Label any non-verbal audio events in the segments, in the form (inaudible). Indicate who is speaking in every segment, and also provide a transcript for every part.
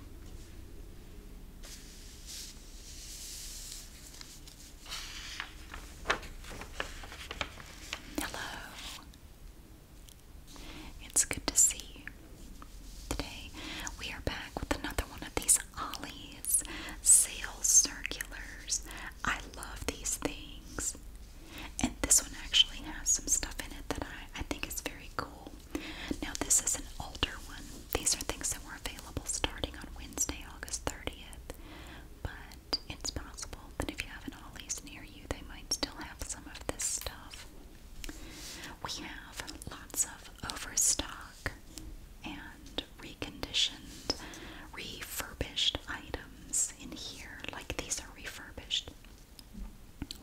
Speaker 1: Hello. It's good to see you. Today we are back with another one of these Ollie's sales circulars. I love these things. And this one actually has some stuff in it that I, I think is very cool. Now, this is an older one. These are things that were available starting on Wednesday, August 30th. But it's possible that if you have an Ollie's near you, they might still have some of this stuff. We have lots of overstock and reconditioned, refurbished items in here, like these are refurbished.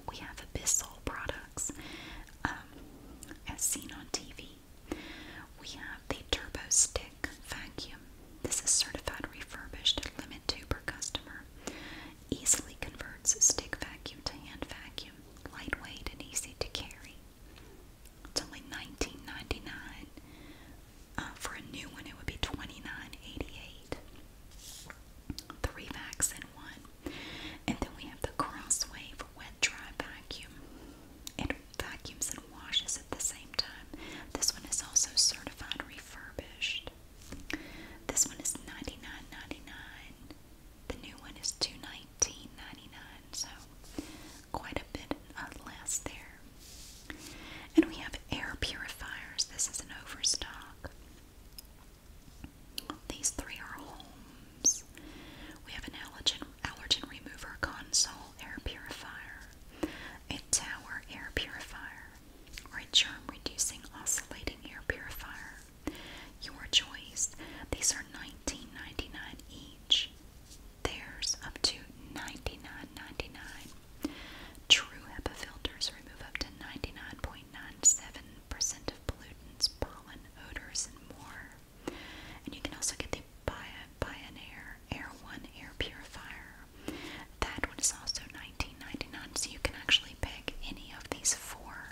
Speaker 1: We have abyssal products products um, as seen on TV. We have the Turbo Stick Vacuum. This is certified refurbished at Limit 2 per customer. Easily converts stick vacuum to hand vacuum. Lightweight and easy to carry. It's only $19.99. Uh, for a new one, it would be $29.88. Three vacs in one. And then we have the Crosswave Wet Dry Vacuum. It vacuums and washes at the same time. This one is also certified refurbished. This one is 99 The new one is two nineteen ninety nine. So quite a bit less there. And we have air purifiers. This is an overstock. These three are homes. We have an allergen, allergen remover console air purifier, a tower air purifier, or a germ reducing oscillating air purifier. Your choice. These are nineteen ninety nine each. There's up to ninety nine ninety nine. True HEPA filters remove up to 99.97 of pollutants, pollen, odors, and more. And you can also get the Bionair Air One air purifier. That one is also $19.99, so you can actually pick any of these four.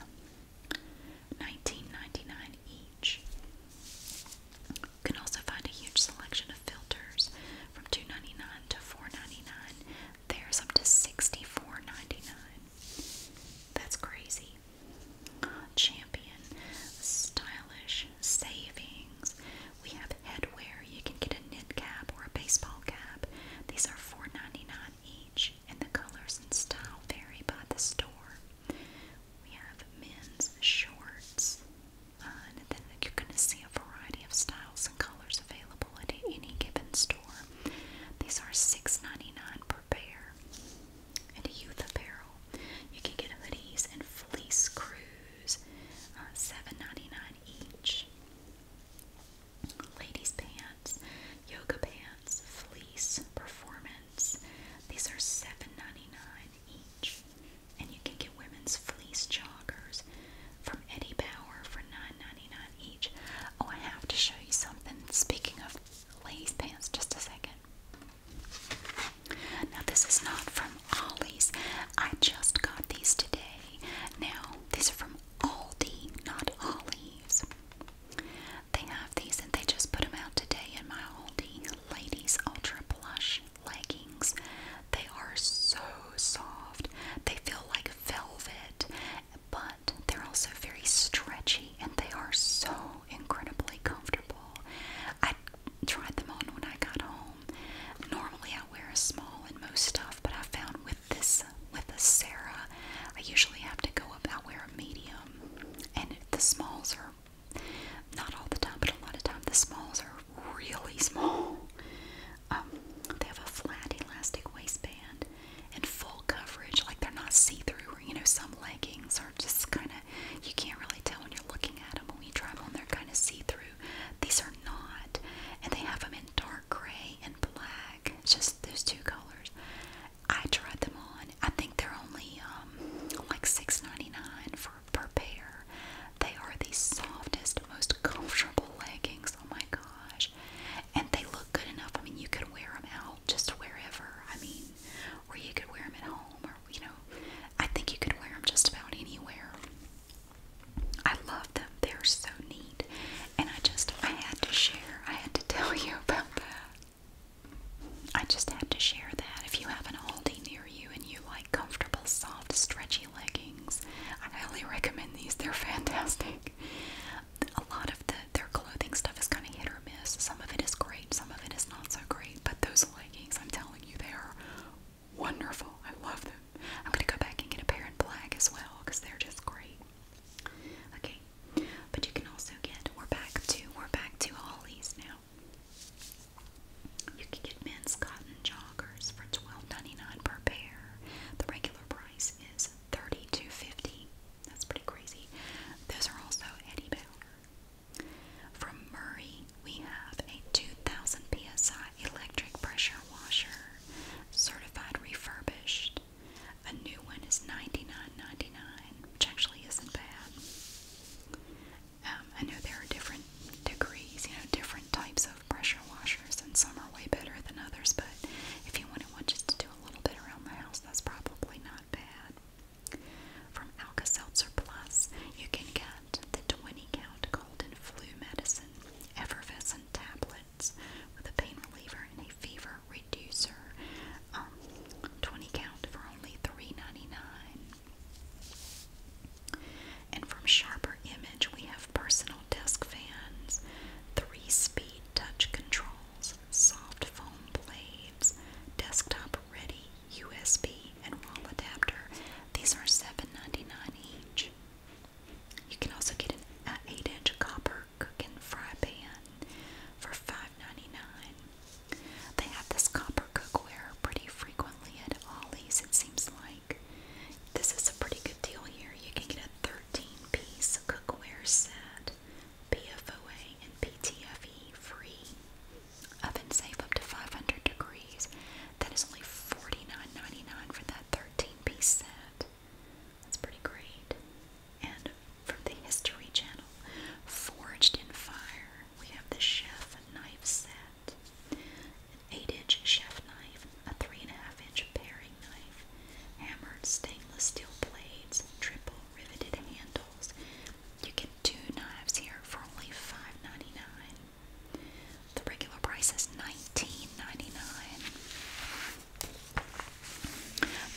Speaker 1: $19.99 each. You can also find a huge selection of filters from $2.99 to $4.99. There's up to $64.99. That's crazy. Champion, stylish, savings. We have headwear. You can get a knit cap or a baseball cap. These are 4 each, and the colors and style vary by the store. We have men's shorts, uh, and you're going to see a variety of styles and colors available at any given store. These are 6 per pair and youth apparel. You can get hoodies and fleece crews, uh, each. Ladies' pants, yoga pants, fleece, performance. These are seven ninety nine each. And you can get women's fleece joggers from Eddie Bauer for nine ninety nine each. Oh, I have to show you something. Speaking of Lay's pants. Just a second. Now, this is not from Ollie's. I just got these today. Now, these are from Aldi, not Ollie's. They have these and they just put them out today in my Aldi Ladies Ultra Plush leggings. They are so soft, they feel like velvet, but they're also very stretchy and they are so incredibly comfortable. I tried them on when I got home. Normally I wear a small in most stuff, but I found with this with the Sarah, I usually have to go up. I wear a medium, and the smalls are not all the time, but a lot of time the smalls are really small. Um, they have a flat elastic waistband, in full coverage, like they're not see-through. Or you know, some leggings are just kind of you can't really tell when you're looking at them. When you try them on, they're kind of see-through. These are not, and they have them in dark gray and black. It's just those two colors. I tried them on. I think they're only um, like $6.99 for per pair. They are the softest, most comfortable leggings. Oh my gosh! and they look good enough. I mean, you could wear them out just wherever. I mean, or you could wear them at home, or you know, I think you could wear them just about anywhere. I love them. They're so neat, and I just I had to share. I had to (laughs) tell you about that. I just had to share that. If you have an Aldi near you and you like comfortable, soft, stretchy leggings, I highly recommend these. They're (laughs) fantastic a lot of the their clothing stuff is kind of hit or miss. Some of it is great, some of it is not so great. But those leggings, I'm telling you, they are wonderful. I love them. I'm gonna go back and get a pair in black as well because they're just great. Okay, but you can also get. We're back to we're back to Ollie's now. You can get men's cotton joggers for $12.99 per pair. The regular price is $32.50. That's pretty crazy. Those are also Eddie Bauer. From Murray, we have a 2000 psi electric pressure washer, certified refurbished. A new one is ninety nine ninety nine, which actually isn't bad. Um, I know there are different degrees, you know, different types of pressure washers, and some are way better than others, but if you want to one just to do that's probably not bad. From Alka Seltzer Plus, you can get the 20 count golden flu medicine, effervescent tablets with a pain reliever and a fever reducer. Um, 20 count for only $3.99. And from Sharper Image, we have personal desk fans, three speed touch control soft foam blades, desktop ready USB and wall adapter. These are $7.99 each. You can also get an 8-inch copper cooking fry pan for $5.99. They have this copper cookware pretty frequently at Ollie's, it seems like. This is a pretty good deal here. You can get a 13-piece cookware set PFOA and PTFE free. Oven safe up to 500 degrees. That is only $49.99 for that 13 piece set. That's pretty great. And from the History Channel, Forged in Fire, we have the Chef Knife Set. An 8-inch chef knife, a 3.5-inch paring knife, hammered stainless steel blades, triple riveted handles. You get two knives here for only 5 The regular price is 19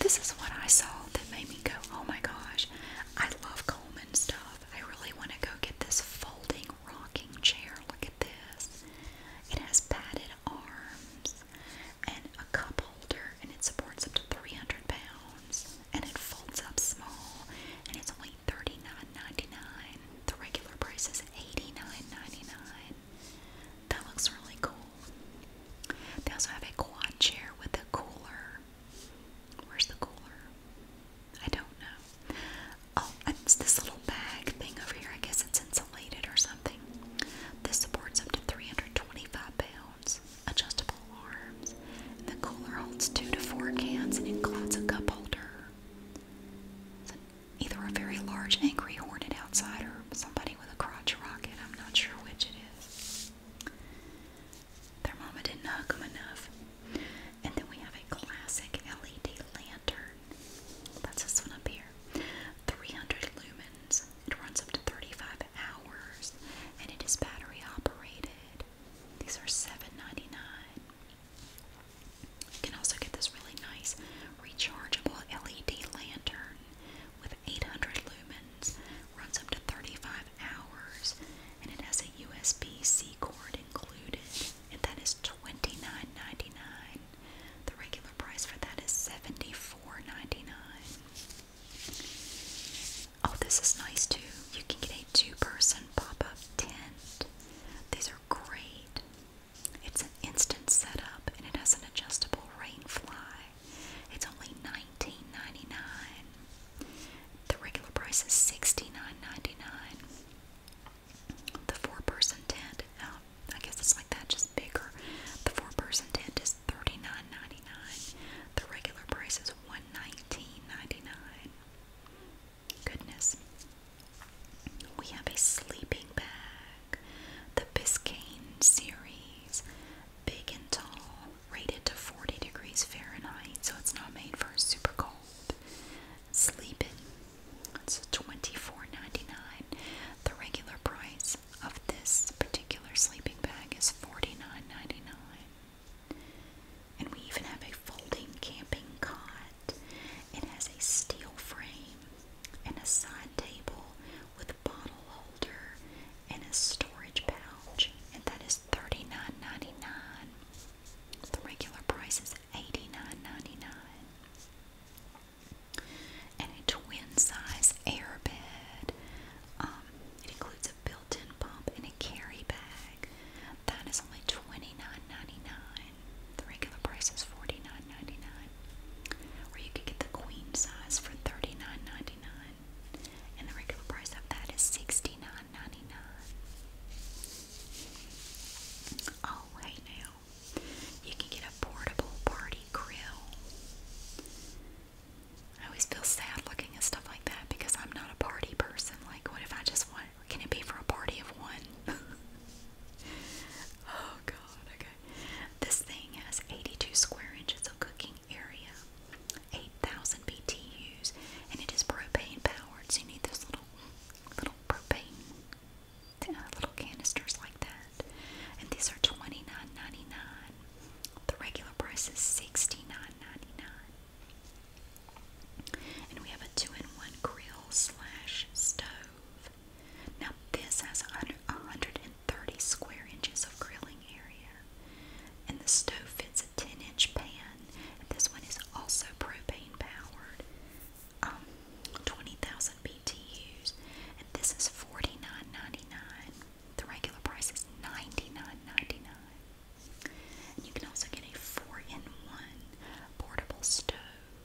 Speaker 1: This is what I saw that made me go, oh my gosh, I love Coleman stuff. I really want to go get this folding rocking chair. Look at this. It has padded arms and a cup holder and it supports up to 300 pounds and it folds up small and it's only $39.99 the regular price is $89.99 that looks really cool they also have a quad chair with a cooler where's the cooler I don't know oh it's this little bag thing over here I guess it's insulated or something this supports up to 325 pounds adjustable arms. And the cooler holds two to four cans and includes a cup holder. either a very large, angry, horned outsider or somebody with a crotch rocket. I'm not sure which it is. Their mama didn't hug them enough. And then we have a classic LED lantern. That's this one up here. 300 lumens. It runs up to 35 hours, and it is battery operated. These are $7.99. You can also get this really nice rechargeable LED lantern with 800 lumens, runs up to 35 hours, and it has a USB C cord included, and that is $29.99. The regular price for that is $74.99. Oh, this is nice too. You can get a two person pop up tent. These are great. It's an instant setup and it has an adjustable rain fly. It's only $19.99. The regular price is $69.99. The four person tent, uh, I guess it's like that, just bigger. The four person tent is $39.99. The regular price is 119 Goodness. We have a sleeping bag. The Biscayne series. Big and tall. Rated to 40 degrees Fahrenheit. So it's not made for super cold. Sleeping. It's 24 dollars The regular price of this particular sleeping bag is $49.99. And we even have a folding camping cot. It has a steel frame and a side table with a bottle holder and a storage pouch. And that is $39.99. The regular price is $89.99 and a twin-size air bed. Um, it includes a built-in pump and a carry bag. That is only $29.99. The regular price is $49.99. you could get the queen size for 39 And the regular price of that is $69.99. Oh, hey now. You can get a portable party grill. I always feel sad looking at stuff like that because I'm not a party person. Like, what if I just want, can it be for a party of one? (laughs) oh god, okay. This thing has 82 square inches of cooking area, 8,000 BTUs, and it is propane powered, so you need those little, little propane, uh, little canisters like that. And these are twenty nine ninety nine. The regular price is sixty nine ninety nine. And we have a two-in-one grill slash stove. Now this has 130 square inches of grilling area. And the stove fits a 10-inch pan. And this one is also propane powered. Um, 20,000 BTUs. And this is forty nine ninety nine. The regular price is $99.99. you can also get a 4-in-1 portable stove.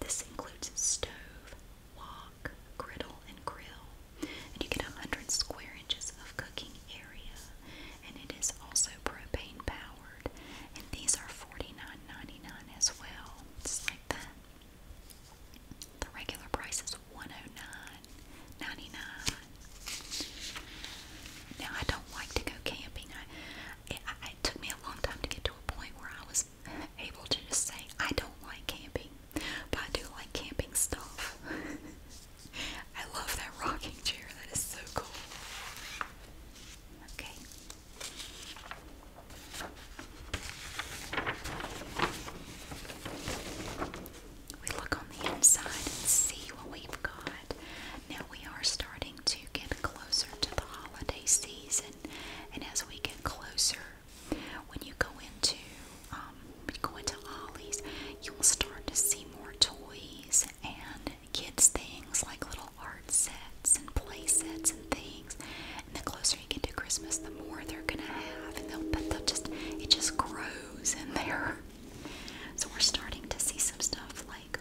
Speaker 1: This includes stove, wok, griddle, and grill. And you get 100 square inches of cooking area. And it is also propane powered. And these are $49.99 as well. Just like that. The regular price is 109 Now, I don't like to go camping. it took me a long time to get to a point where I was able to just say, I don't like camping, but I do like camping stuff. (laughs) I love that rocking chair, that is so cool. Okay we look on the inside and see what we've got. Now we are starting to get closer to the holiday season, and as we get closer, when you go into um, when you Ollie's, you will start to see more toys and kids things like little art sets and play sets and things closer you get to Christmas, the more they're gonna have, and they'll but they'll just it just grows in there. (laughs) So we're starting to see some stuff like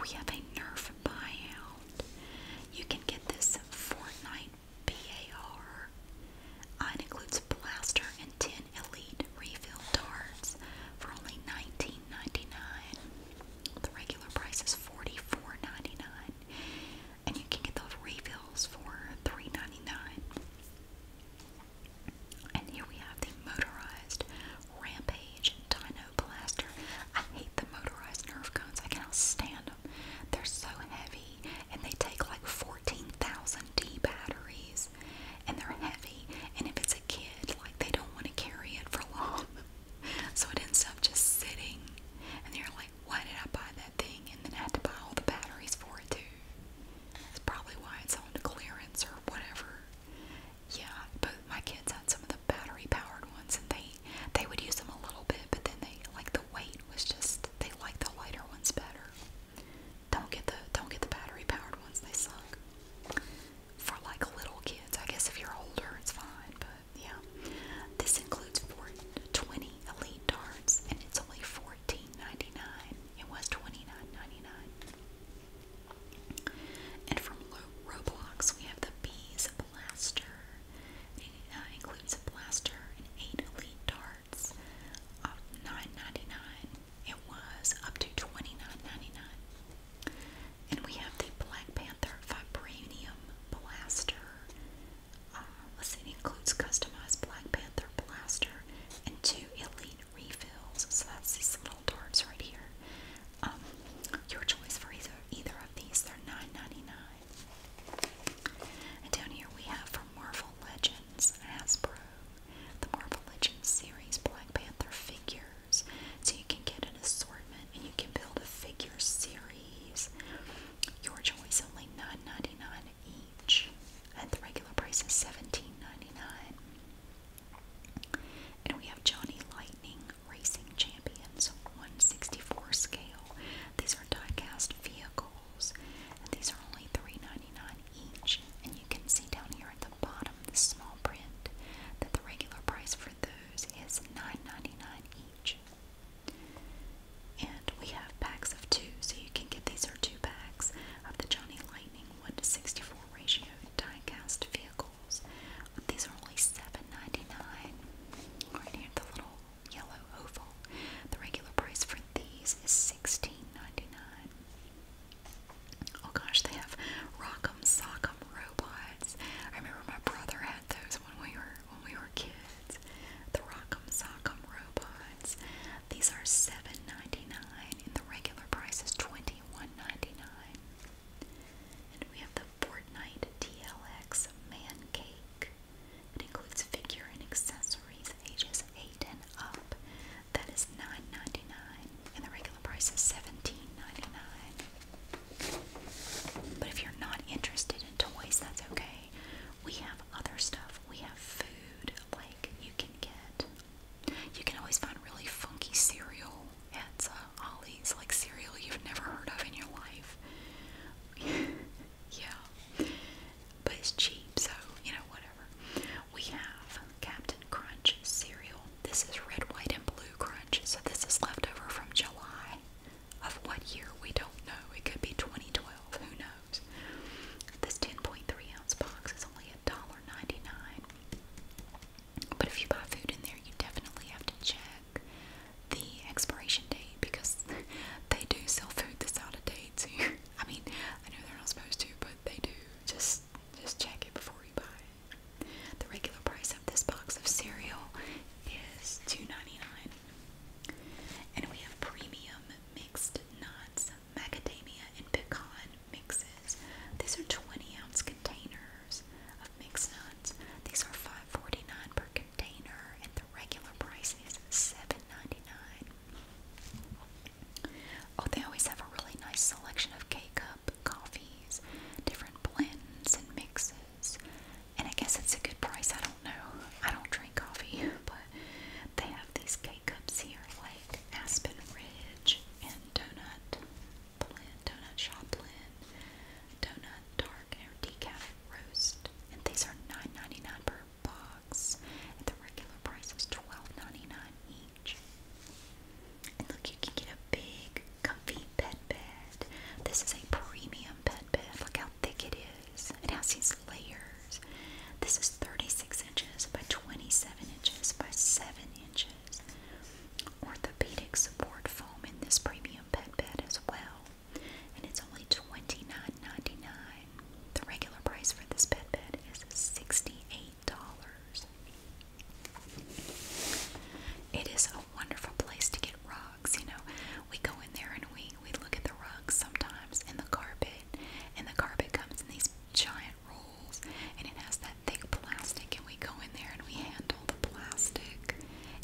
Speaker 1: we have a Nerf buyout. You can get this Fortnite BAR. Uh, it includes a blaster and ten elite refill darts for only $19.99. The regular price is $44.99 and you can get those refills for 3 And here we have the motorized Rampage Dino Blaster. I hate the motorized Nerf guns. I cannot stand them. They're so heavy, and they take like 14,000 D batteries, and they're heavy. And if it's a kid, like they don't want to carry it for long, (laughs) so it ends up just sitting. And you're like, why did I buy that thing and then I had to buy all the batteries for it too? That's probably why it's on clearance or whatever. Yeah, but my kids had some of the battery powered ones and they they would use them a little bit, but then they like the weight was just they like the lighter ones better. Don't get the don't get the battery powered ones, they suck. For like little kids, I guess if you're older it's fine, but yeah. This includes for 20 elite Darts and it's only $14.99. It was $29.99. And from Roblox, we have the Bees Blaster. It uh, includes a blaster and eight elite darts of uh, nine ninety nine. It was up to $29.99. And we have the Black Panther Vibranium Blaster. Uh, let includes customized Black Panther blaster and two elite refills. So that's these little darts right here. Um, your choice for either either of these. They're And down here we have from Marvel Legends Hasbro, the Marvel Legends series Black Panther figures. So you can get an assortment and you can build a figure series. Your choice only $9.99 each, and the regular price is $17.99. And we have Johnny Lightning Racing Champions 164 scale. These are diecast vehicles, and these are only $3.99 each. And you can see down here at the bottom, the small print, that the regular price for those is $9.99 each. And we have packs of two, so you can get these are two packs of the Johnny Lightning 1 to 64 ratio die vehicles. These are only 7 Right here, the little yellow oval. The regular price for these is 16 Oh gosh, they have Rock'em Sock'em robots. I remember my brother had those when we were when we were kids. The Rock'em Sock'em robots. These are $7.99 and the regular price is $21.99. And we have the Fortnite TLX Man Cake. It includes figure and accessories ages 8 and up. That is $9.99 and the regular price is $17.99. But if you're not interested in toys, that's okay okay. We have other stuff. We have food, like you can get. You can always find really funky cereal at uh, Ollie's, like cereal you've never heard of in your life. (laughs) yeah. But it's cheap, so, you know, whatever. We have Captain Crunch cereal. This is red, white, and blue crunch, so this is leftover from July. Of what year, we don't know. It could be 2012, who knows? This 10.3 ounce box is only $1.99. But if you buy food in there, you definitely have to check the expiration date because (laughs) they do sell food that's out of date too. (laughs) I mean, I know they're not supposed to, but they do. Just just check it before you buy The regular price of this box of cereal is $2.99. And we have premium mixed nuts, macadamia, and pecan mixes. These are 20 ounce containers of mixed nuts. These are five forty nine per container, and the regular price is seven ninety nine. Oh, they always have a really nice selection of K cup coffees, different blends and mixes and I guess it's a good price. I don't know. I don't drink coffee, but they have these cake cups here, like Aspen Ridge and Donut Blend, Donut Shop Blend, Donut Dark or Decaf Roast, and these are $9.99 per box, and the regular price is $12.99 each. And look, you can get a big, comfy pet bed. This is a premium pet bed. Look how thick it it has these layers. This is 36 inches by 27 inches by 7 inches. Orthopedic support foam in this premium pet bed as well. And it's only $29.99. The regular price for this pet bed is $68. It is a wonderful place to get rugs you know. We go in there and we we look at the rugs sometimes and the carpet, and the carpet comes in these giant rolls and it has that thick plastic and we go in there and we handle the plastic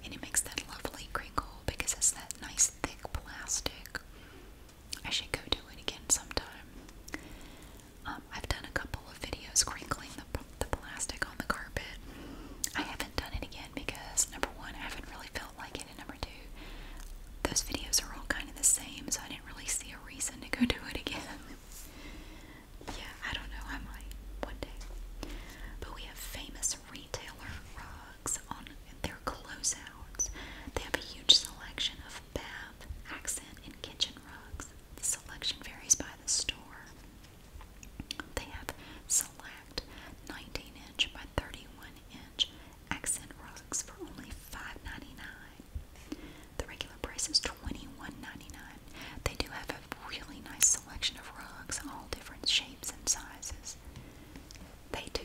Speaker 1: and it makes that lovely crinkle because it's that nice thick plastic. I should go do it again sometime. Um, I've done a couple of videos crinkling the, the plastic on the carpet. I haven't done it again because, number one, I haven't really felt like it. And number two, those videos are all kind of the same, so I didn't really see a reason to go do it again. (laughs) yeah, I don't know. I might one day. But we have famous retailer rugs on their closeouts. They have a huge selection of bath, accent, and kitchen rugs. The selection varies by the store. They have select 19 inch by 31 inch Accent rugs for only $5.99. The regular price is $21.99. They do have a really nice selection of rugs, all different shapes and sizes. They do.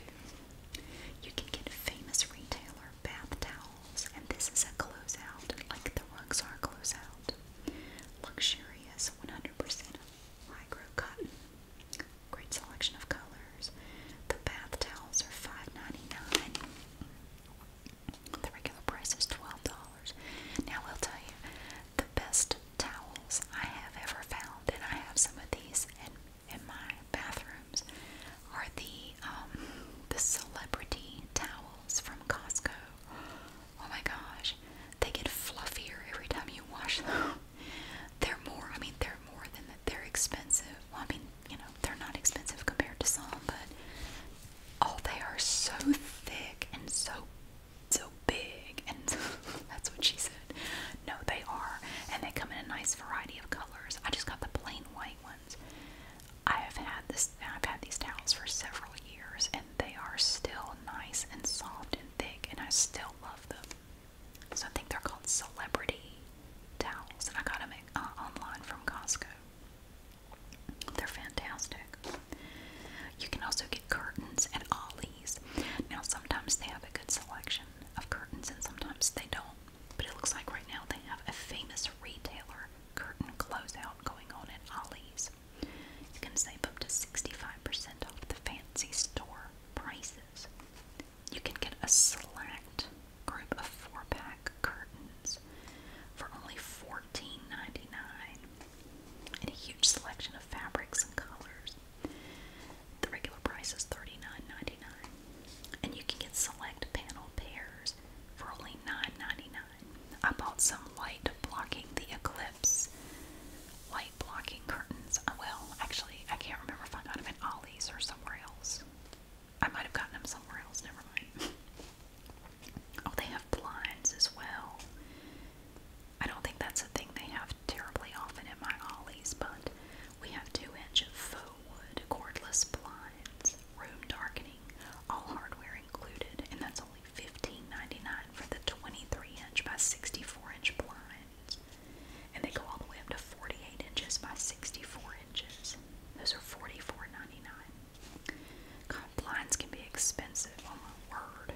Speaker 1: You can get famous retailer bath towels, and this is a closeout, like the rugs are closeout. Luxurious 100% micro cotton. Great selection of colors. The bath towels are $5.99. The regular price is $12. Now, I'll tell you, the best towels I have ever found, and I have some of these in, in my bathrooms, are the, um, the celebrity towels from Costco. Oh my gosh, they get fluffier every time you wash them. They're more, I mean, they're more than that. They're expensive. I mean, you know, they're not expensive compared to some, but oh, they are so thick and so, so big. And (laughs) that's what she said. No, they are. And they come in a nice variety of colors. I just got the plain white ones. I have had this, I've had these towels for several years, and they are still nice and soft and thick, and I still love them. So I think they're called celebrity towels, and I got them uh, online from Costco. They're fantastic. You can also get curtains at Ollie's. Now, sometimes they have a good selection of curtains, and sometimes they don't. But it looks like right now they have a famous retailer curtain closeout going on at Ollie's. You can save up to 65% off the fancy store prices. You can get a select group of four pack curtains for only $14.99 and a huge selection of fabrics and colors. The regular price is $39.99. And you can get select panel pairs for only $9.99. I bought some light blocking the eclipse blocking curtains. Uh, well, actually, I can't remember if I got them at Ollie's or somewhere else. I might have gotten them somewhere else, never mind. (laughs) oh, they have blinds as well. I don't think that's a thing they have terribly often at my Ollie's, but we have two inch faux wood cordless blinds, room darkening, all hardware included, and that's only $15.99 for the 23 inch by 64 inch blinds. And they go all the way up to 48 inches by 64 inches. Those are forty-four ninety-nine. blinds can be expensive, oh my word.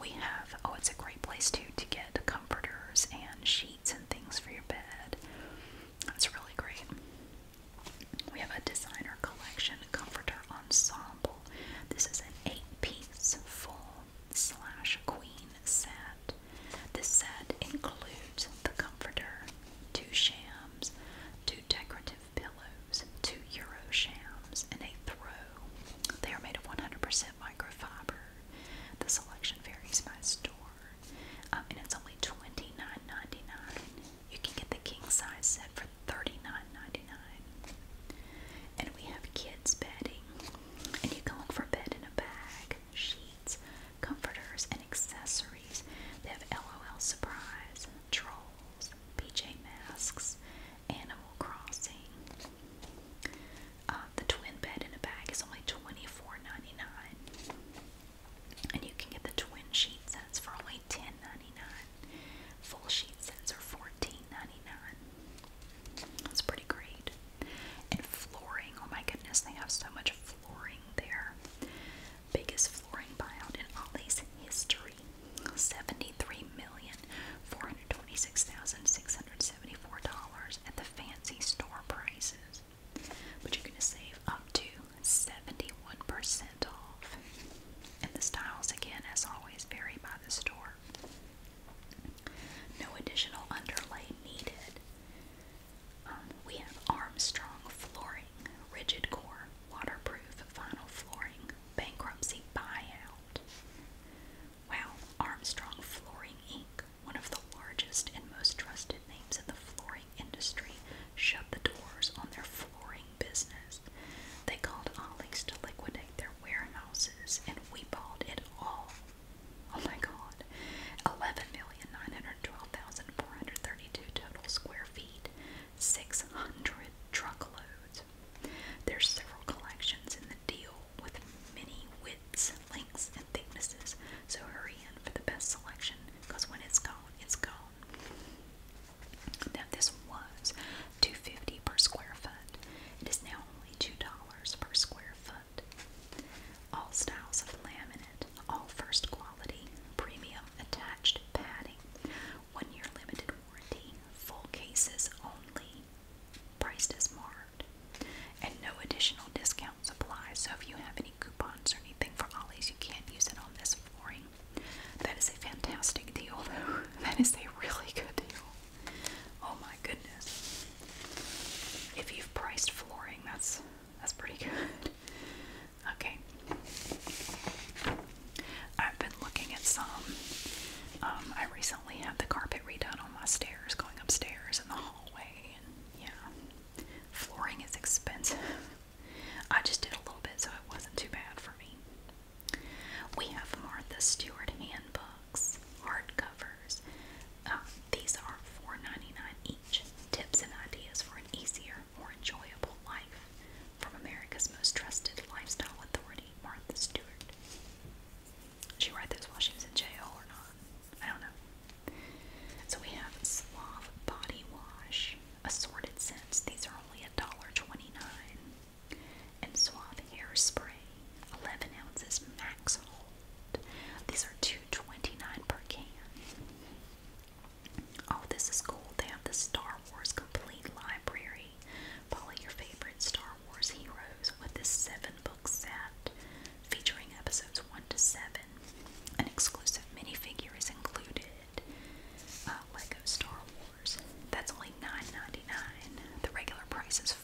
Speaker 1: We have, oh, it's a great place too to get comforters and sheets and things for your bed. That's really great. We have a designer collection comforter ensemble. This is an eight-piece full slash queen set. This set includes the comforter, two shams, two decorative pillows, two euro shams, and a throw. They are made of 100% microfiber. The selection varies by store, um, and it's only $29.99. You can get the king size set for 39 And we have kids bedding. And you can look for bed in a bag, sheets, comforters, and accessories. They have LOL Surprise, Trolls, PJ Masks, Animal Crossing. Uh, the twin bed in a bag is only $24.99. And you can get the twin sheets sets for only $10.99. Full sheet sets are 14 dollars That's pretty great. And flooring, oh my goodness, they have so much flooring there. Biggest flooring buyout in all Ollie's history. $73,426,674 at the fancy store prices. But you're going to save up to 71% off. And the styles, again, as always, vary by the store. No additional underlay needed. Um, we have Armstrong flooring, rigid core, waterproof vinyl flooring, bankruptcy buyout. Wow, Armstrong Flooring Inc., one of the largest and most trusted names in the flooring industry, shut the doors on their flooring business. They called Ollie's to liquidate their warehouses, and we bought it all. Oh my god. 11,912,432 total square feet, 600 truckloads. There's several collections in the deal with many widths, lengths, and thicknesses, so hurry in for the best selection because when it's gone, it's gone. Now, this was $2.50 per square foot. It is now only $2 per square foot. All styles of laminate, all first quality, premium attached padding, one year limited warranty, full cases only, priced as marked, and no additional discounts apply. So if you have any coupons or anything for Ollie's, you can't use it on this flooring. That is a fantastic deal, though. (laughs) That is a really good deal. Oh my goodness. If you've priced flooring, that's that's pretty good. (laughs) Okay. I've been looking at some. Um, I recently had the carpet redone on my stairs, going upstairs in the hallway, and yeah. Flooring is expensive. (laughs) I just did a little bit so it wasn't too bad for me. We have Martha Stewart handbooks, hardcovers. Um, these are $4.99 each. Tips and ideas for an easier, more enjoyable life from America's most trusted lifestyle authority, Martha Stewart. Did she write those while she was in jail or not? I don't know. So we have Suave Body Wash, assorted scents. These are only $1.29 and Suave Hairspray, 11 ounces max hold. These are two twenty nine per can. Oh, this is cool. They have the Star Wars Complete Library. Follow your favorite Star Wars heroes with this seven book set featuring episodes 1 to 7. An exclusive minifigure is included. Uh, Lego Star that's only $9.99. The regular price is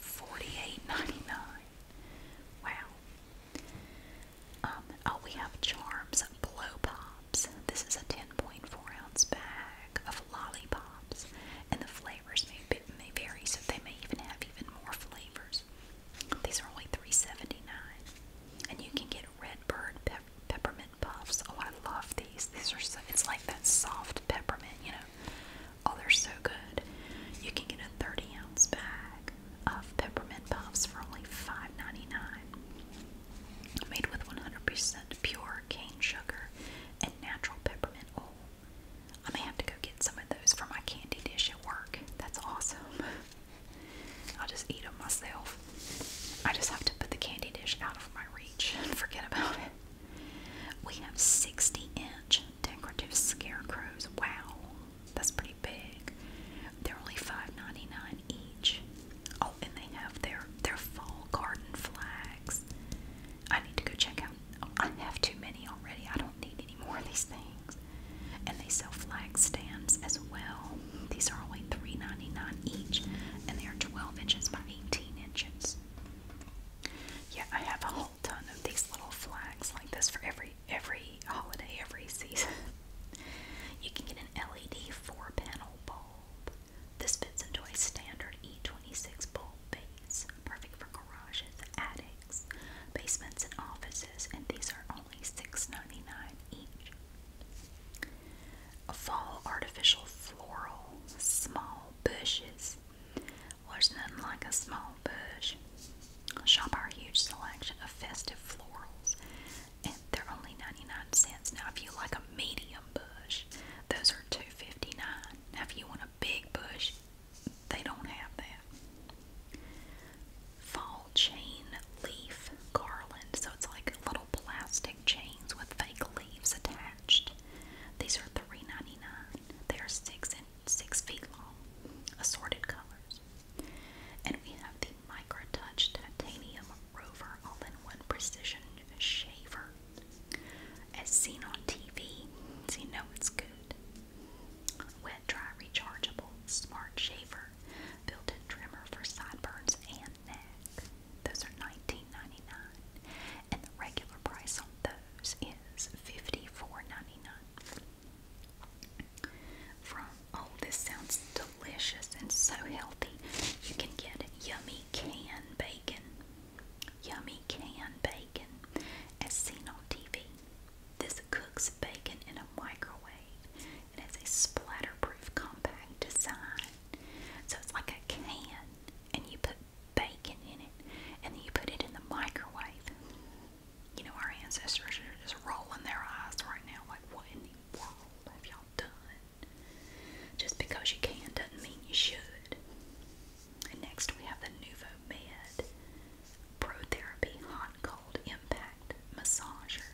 Speaker 1: $48.99. Wow. Um, oh, we have Charms Blow Pops. This is a 10.4 ounce bag of lollipops, and the flavors may, may vary, so they may even have even more flavors. These are only $3.79. And you can get red bird peppermint puffs. Oh, I love these. These are so, it's like that soft peppermint, you know, Oh, they're so good. You can get a 30 ounce bag of peppermint puffs for only $5.99. Made with 100% pure cane sugar and natural peppermint oil. I am gonna have to go get some of those for my candy dish at work. That's awesome. (laughs) I'll just eat them myself. I just have to put the candy dish out of my reach forget about it. We have 60 inch decorative scarecrows. Wow, that's pretty big. They're only $5.99 each. Oh, and they have their, their fall garden flags. I need to go check out. Oh, I have too many already. I don't need any more of these things. And they sell flag stands as well. These are only $3.99 each, and they are 12 inches by 18 inches. Yeah, I have a whole ton of these little flags like this for every every holiday, every season. you can get an LED four-panel bulb. This fits into a standard E26 bulb base, perfect for garages, attics, basements, and offices. And these are only $6.99 each. fall artificial floral, small bushes, there's nothing like a small bush. Shop our huge selection of festive florals, and they're only 99 cents. Now, if you like a medium bush, those are 2.59. Now, if you want a big bush, they don't have that. Fall chain leaf garland, so it's like little plastic chains with fake leaves attached. These are three ninety nine. They are six and six feet long, assorted colors. And we have the Micro Touch Titanium Rover All-in-One Precision Shaver. As seen on TV, you know it's good. Wet dry rechargeable smart shaver. Built-in trimmer for sideburns and neck. Those are 19 And the regular price on those is 54 From, oh, this sounds delicious and so healthy. You can get yummy canned bacon. Yummy canned bacon as seen on TV. This cooks bacon in a microwave. It has a splatter proof compact design. So it's like a can, and you put bacon in it, and then you put it in the microwave. You know, our ancestors are just rolling their eyes right now, like, what in the world have y'all done? Just because you can doesn't mean you should. And next we have the Nuvo Med Pro Therapy Hot Cold Impact Massager.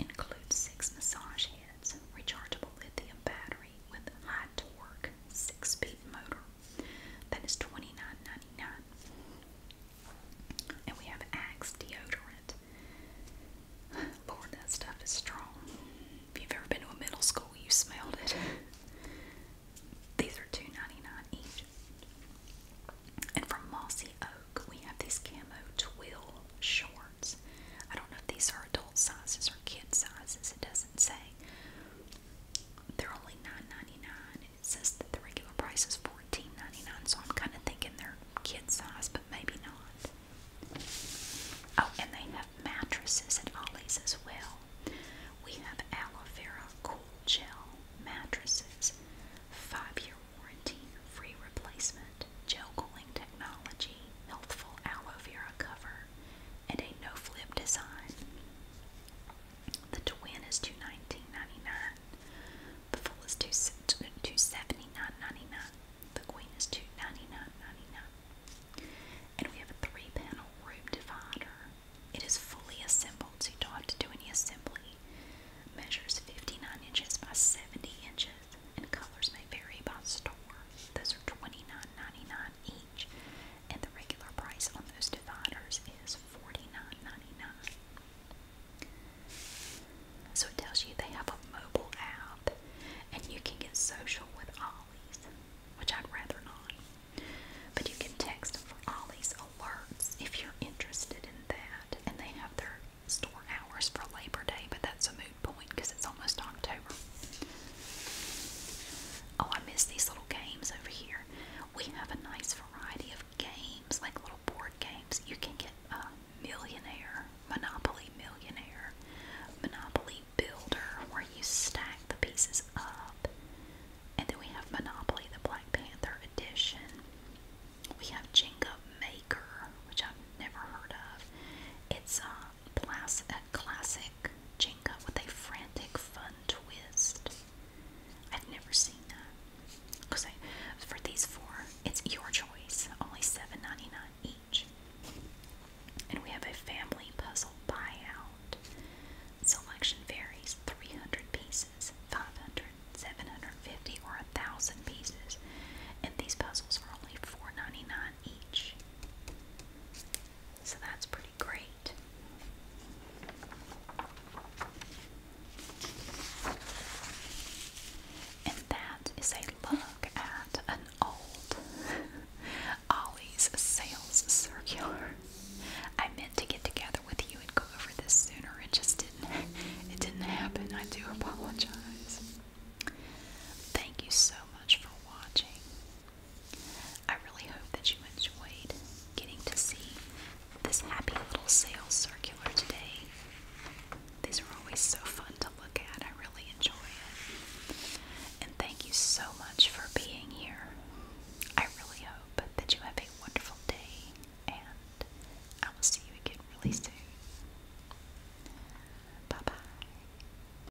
Speaker 1: Includes six massage heads, rechargeable lithium battery, with high torque six speed motor. thats nine ninety nine. And we have Axe deodorant. Lord, that stuff is strong. If you've ever been to a middle school, you smelled it. (laughs) these are 2 each. And from Mossy Oak, we have these camo twill shorts. I don't know if these are adult sizes or kid sizes, it doesn't say. They're only 9 it says that the regular price is $14.99, so I'm kind of thinking they're kid size, but maybe not. Oh, and they have mattresses at Ollie's as well. We have aloe cool gel mattresses, five-year warranty, free replacement, gel cooling technology, healthful aloe cover, and a no-flip design. The twin is 219 The full is 279 dollars The queen is 299 And we have a three-panel room divider. It is fully assembled, so you don't have to do any assembly. Measures 59 inches by 70 inches, and colors may vary by store. Those are 29 99 each each, and the regular price on those dividers is $49.99. So it tells you they have a mobile app, and you can get social with Ollie's, which I'd rather not. But you can text them for Ollie's alerts if you're interested in that, and they have their store hours for Labor Day, but that's a movie good point because it's almost October. Oh, I miss these little games over here. We have a nice variety of games, like little board games. You can get uh, Millionaire, Monopoly Millionaire, Monopoly Builder, where you stack the pieces up. And then we have Monopoly, the Black Panther edition. We have Jenga Maker, which I've never heard of. It's um plus classic Jenga with a frantic fun twist. I've never seen that. Because for these four, it's your choice. Only seven ninety nine each. And we have a family puzzle buyout. Selection varies 300 pieces, 500, 750, or 1,000 pieces. And these puzzles are only four ninety nine each. So that's pretty great. And that is a look at an old (laughs) Ollie's sales circular. I meant to get together with you and go over this sooner. It just didn't it didn't happen. I do apologize. Thank you so much for watching. I really hope that you enjoyed getting to see this happy little sales circular today. These are always so fun to look at. I really enjoy it. And thank you so much for being here. I really hope that you have a wonderful day, and I will see you again really soon. Bye bye.